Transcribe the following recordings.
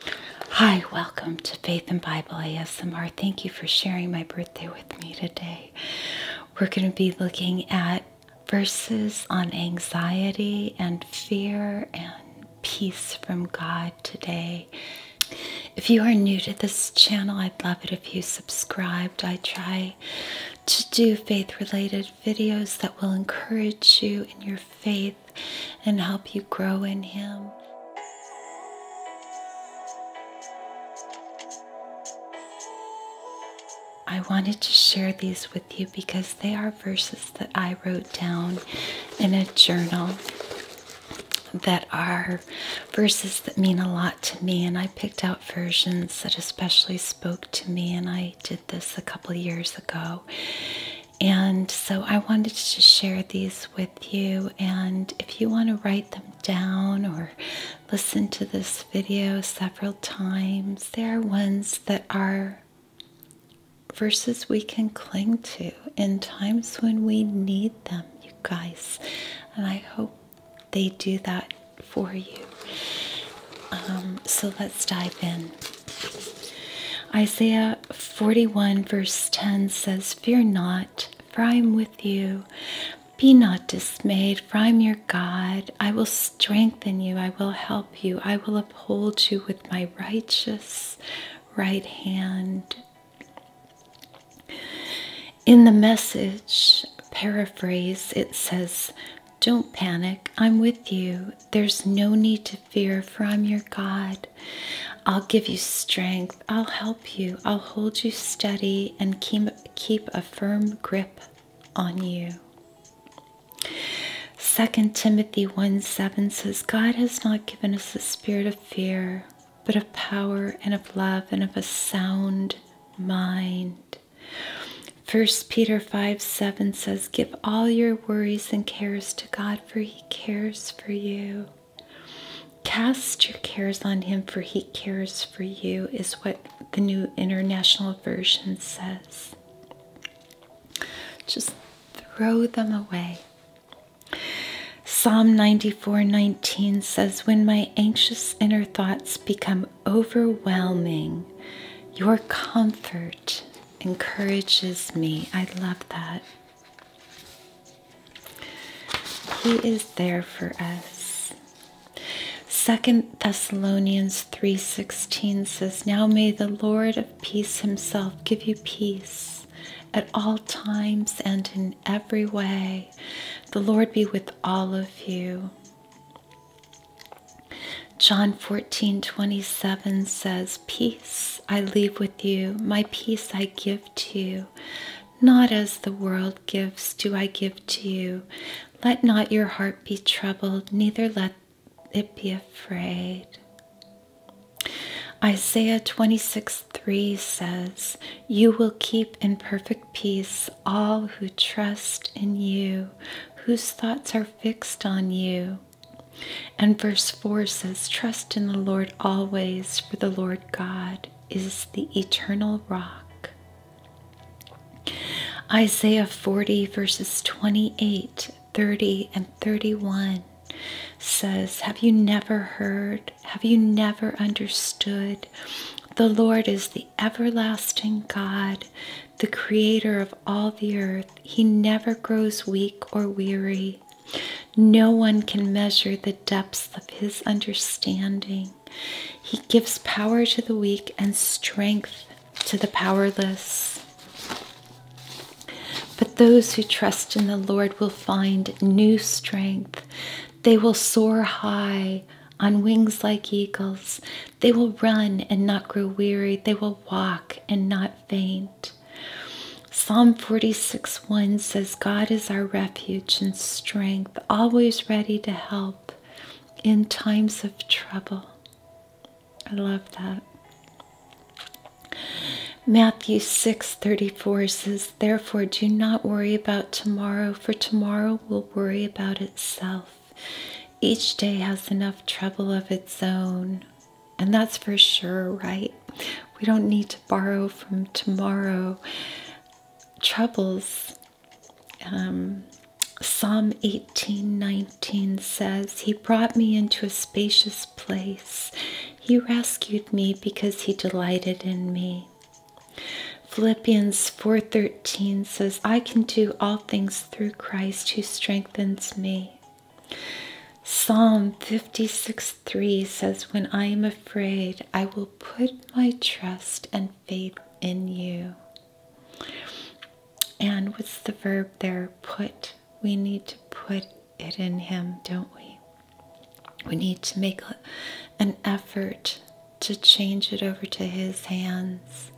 Hi, welcome to Faith and Bible ASMR. Thank you for sharing my birthday with me today. We're going to be looking at verses on anxiety and fear and peace from God today. If you are new to this channel, I'd love it if you subscribed. I try to do faith related videos that will encourage you in your faith and help you grow in Him. I wanted to share these with you because they are verses that I wrote down in a journal that are verses that mean a lot to me and I picked out versions that especially spoke to me and I did this a couple years ago and so I wanted to share these with you. And if you want to write them down or listen to this video several times, there are ones that are verses we can cling to in times when we need them, you guys. And I hope they do that for you. Um, so let's dive in. Isaiah 41, verse 10 says, Fear not, for I am with you. Be not dismayed, for I am your God. I will strengthen you, I will help you, I will uphold you with my righteous right hand. In the message paraphrase, it says, Don't panic, I'm with you. There's no need to to fear from your God. I'll give you strength. I'll help you. I'll hold you steady and keep, keep a firm grip on you. Second Timothy 1 7 says, God has not given us the spirit of fear, but of power and of love and of a sound mind. First Peter 5 7 says, Give all your worries and cares to God, for He cares for you. Cast your cares on him, for he cares for you, is what the New International Version says. Just throw them away. Psalm 94:19 says, "When my anxious inner thoughts become overwhelming, your comfort encourages me." I love that. He is there for us. Second Thessalonians 3:16 says, "Now may the Lord of peace himself give you peace at all times and in every way. The Lord be with all of you." John 14:27 says, peace I leave with you, my peace I give to you. Not as the world gives, do I give to you. Let not your heart be troubled, neither let it be afraid. Isaiah 26 3 says, You will keep in perfect peace all who trust in you, whose thoughts are fixed on you. And verse 4 says, Trust in the Lord always, for the Lord God is the eternal rock. Isaiah 40, verses 28, 30, and 31 says, Have you never heard? Have you never understood? The Lord is the everlasting God, the creator of all the earth. He never grows weak or weary. No one can measure the depths of his understanding. He gives power to the weak and strength to the powerless. But those who trust in the Lord will find new strength. They will soar high on wings like eagles. They will run and not grow weary. They will walk and not faint. Psalm 46:1 says, God is our refuge and strength, always ready to help in times of trouble. I love that. Matthew 6:34 says, "Therefore do not worry about tomorrow, for tomorrow will worry about itself. Each day has enough trouble of its own." And that's for sure, right? We don't need to borrow from tomorrow. Troubles. Um, Psalm 18 19 says, He brought me into a spacious place. He rescued me because he delighted in me. Philippians 4:13 says, "I can do all things through Christ who strengthens me." Psalm 56 3 says, When I am afraid, I will put my trust and faith in you. And what's the verb there? Put. We need to put it in Him, don't we? We need to make an effort to change it over to His hands.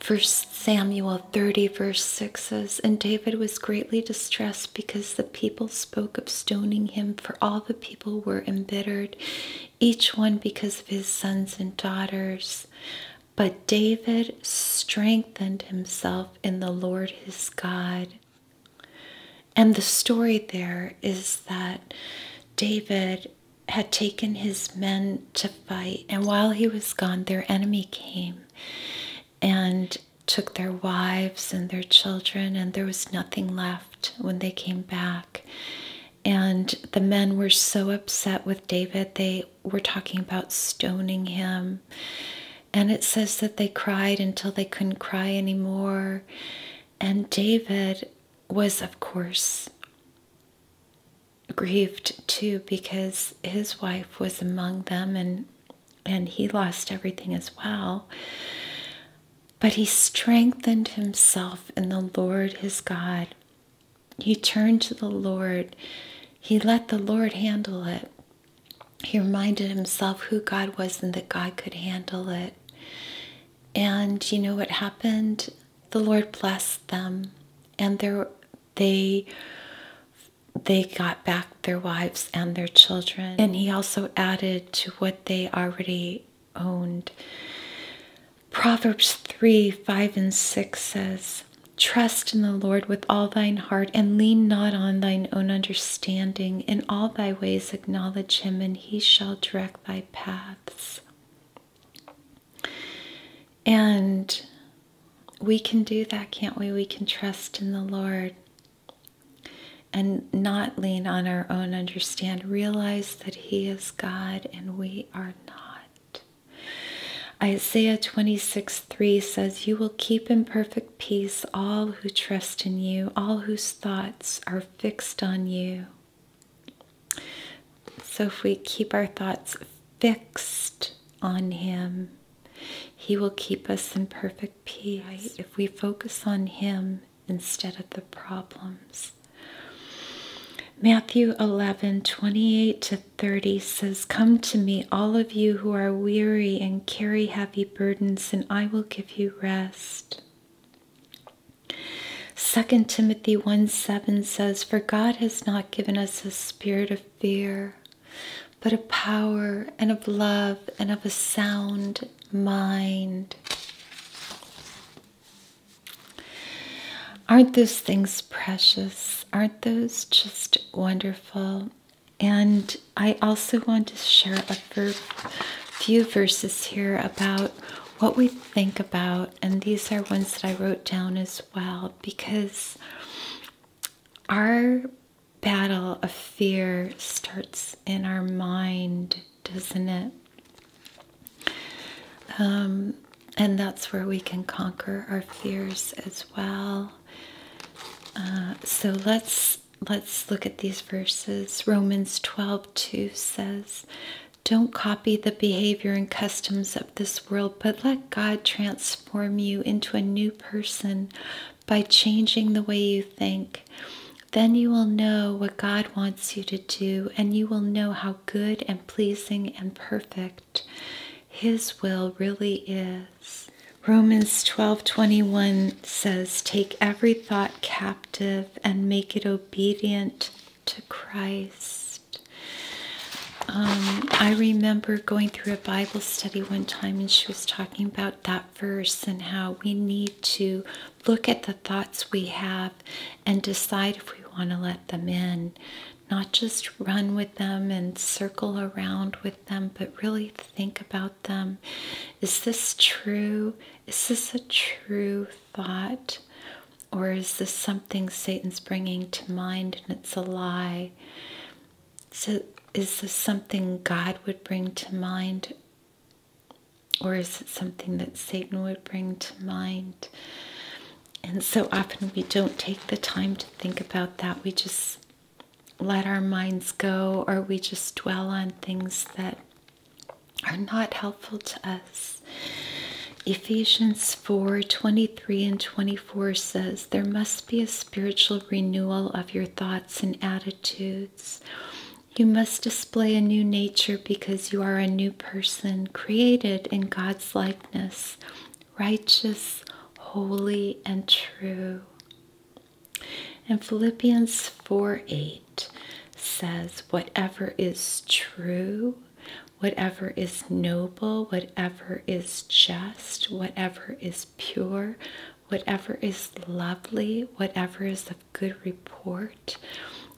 First Samuel 30, verse 6 and David was greatly distressed because the people spoke of stoning him, for all the people were embittered, each one because of his sons and daughters. But David strengthened himself in the Lord his God. And the story there is that David had taken his men to fight, and while he was gone, their enemy came and took their wives and their children, and there was nothing left when they came back. And the men were so upset with David, they were talking about stoning him. And it says that they cried until they couldn't cry anymore. And David was, of course, grieved too because his wife was among them and and he lost everything as well. But he strengthened himself in the Lord his God. He turned to the Lord. He let the Lord handle it. He reminded himself who God was and that God could handle it. And you know what happened? The Lord blessed them, and they they got back their wives and their children. And he also added to what they already owned. Proverbs 3 5 and 6 says, Trust in the Lord with all thine heart and lean not on thine own understanding. In all thy ways acknowledge him, and he shall direct thy paths. And we can do that, can't we? We can trust in the Lord and not lean on our own understanding. Realize that He is God and we are not. Isaiah 26 3 says, You will keep in perfect peace all who trust in you, all whose thoughts are fixed on you. So if we keep our thoughts fixed on Him, he will keep us in perfect peace if we focus on Him instead of the problems. Matthew 11 28 to 30 says, Come to me, all of you who are weary and carry heavy burdens, and I will give you rest. 2 Timothy 1 7 says, For God has not given us a spirit of fear, but of power and of love and of a sound mind. Aren't those things precious? Aren't those just wonderful? And I also want to share a few verses here about what we think about. And these are ones that I wrote down as well because our battle of fear starts in our mind, doesn't it? Um, and that's where we can conquer our fears as well. Uh, so let's let's look at these verses. Romans 12 2 says, Don't copy the behavior and customs of this world, but let God transform you into a new person by changing the way you think. Then you will know what God wants you to do, and you will know how good and pleasing and perfect His will really is. Romans 12:21 says, "Take every thought captive and make it obedient to Christ." Um, I remember going through a Bible study one time, and she was talking about that verse and how we need to look at the thoughts we have and decide if we want to let them in. Not just run with them and circle around with them, but really think about them. Is this true? Is this a true thought? Or is this something Satan's bringing to mind and it's a lie? So, is this something God would bring to mind? Or is it something that Satan would bring to mind? And so often we don't take the time to think about that. We just let our minds go, or we just dwell on things that are not helpful to us. Ephesians 4 23 and 24 says, There must be a spiritual renewal of your thoughts and attitudes you must display a new nature because you are a new person, created in God's likeness, righteous, holy, and true. And Philippians 4 8 says, Whatever is true, whatever is noble, whatever is just, whatever is pure, whatever is lovely, whatever is of good report.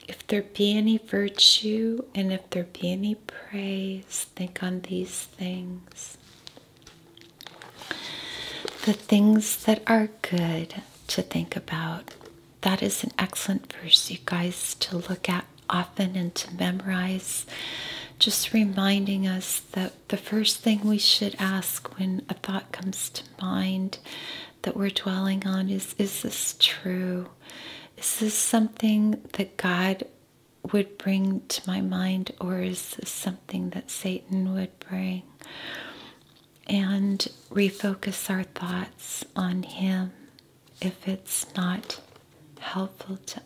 If there be any virtue and if there be any praise, think on these things. The things that are good to think about. That is an excellent verse, you guys, to look at often and to memorize. Just reminding us that the, first thing we should ask when a thought comes to mind that we're dwelling on is Is this true? Is this something that God would bring to my mind, or is this something that Satan would bring? And refocus our thoughts on Him if it's not helpful to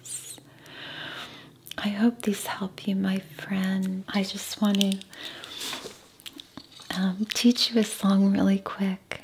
us. I hope these help you, my friend. I just want to um, teach you a song really quick.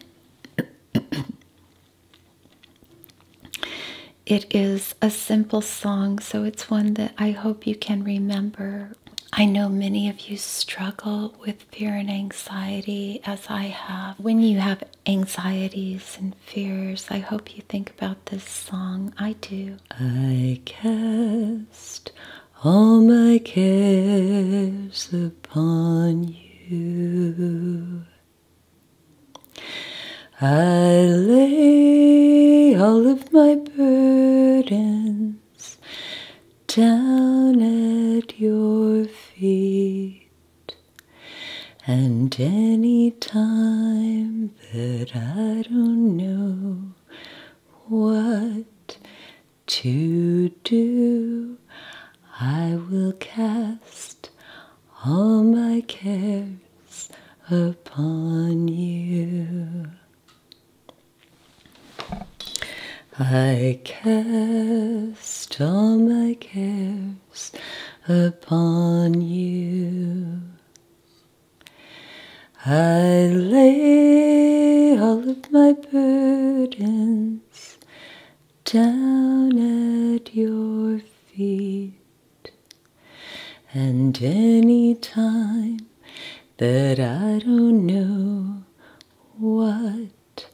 it is a simple song, so it's one that I hope you can remember. I know many of you struggle with fear and anxiety, as I have. When you have anxieties and fears, I hope you think about this song. I do. I cast all my cares upon you. I lay all of my burdens down at your feet, and any time that I don't know what to do. I will cast all my cares upon you. I cast all my cares upon you. I lay all of my burdens down at your feet, and any time that I don't know what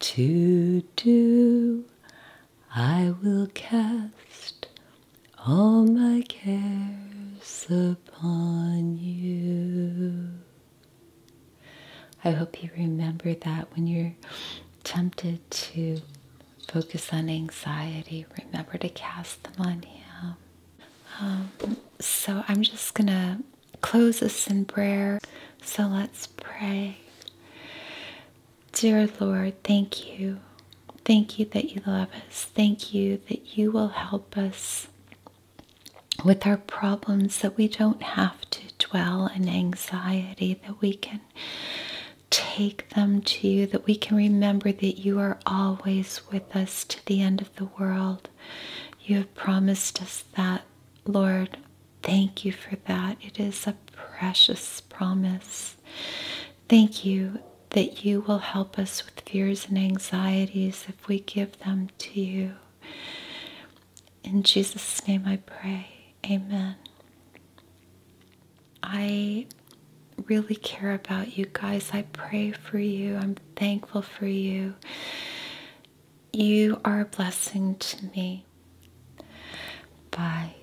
to do, I will cast all my cares upon you. I hope you remember that when you're tempted to focus on anxiety, remember to cast them on Him. Um, so I'm just going to close this in prayer. So let's pray. Dear Lord, thank you Thank you that you love us. Thank you that you will help us with our problems, that we don't have to dwell in anxiety, that we can take them to you, that we can remember that you are always with us to the end of the world. You have promised us that, Lord. Thank you for that. It is a precious promise. Thank you that you will help us with fears and anxieties if we give them to you. In Jesus' name I pray. Amen. I really care about you guys. I pray for you. I'm thankful for you. You are a blessing to me. Bye.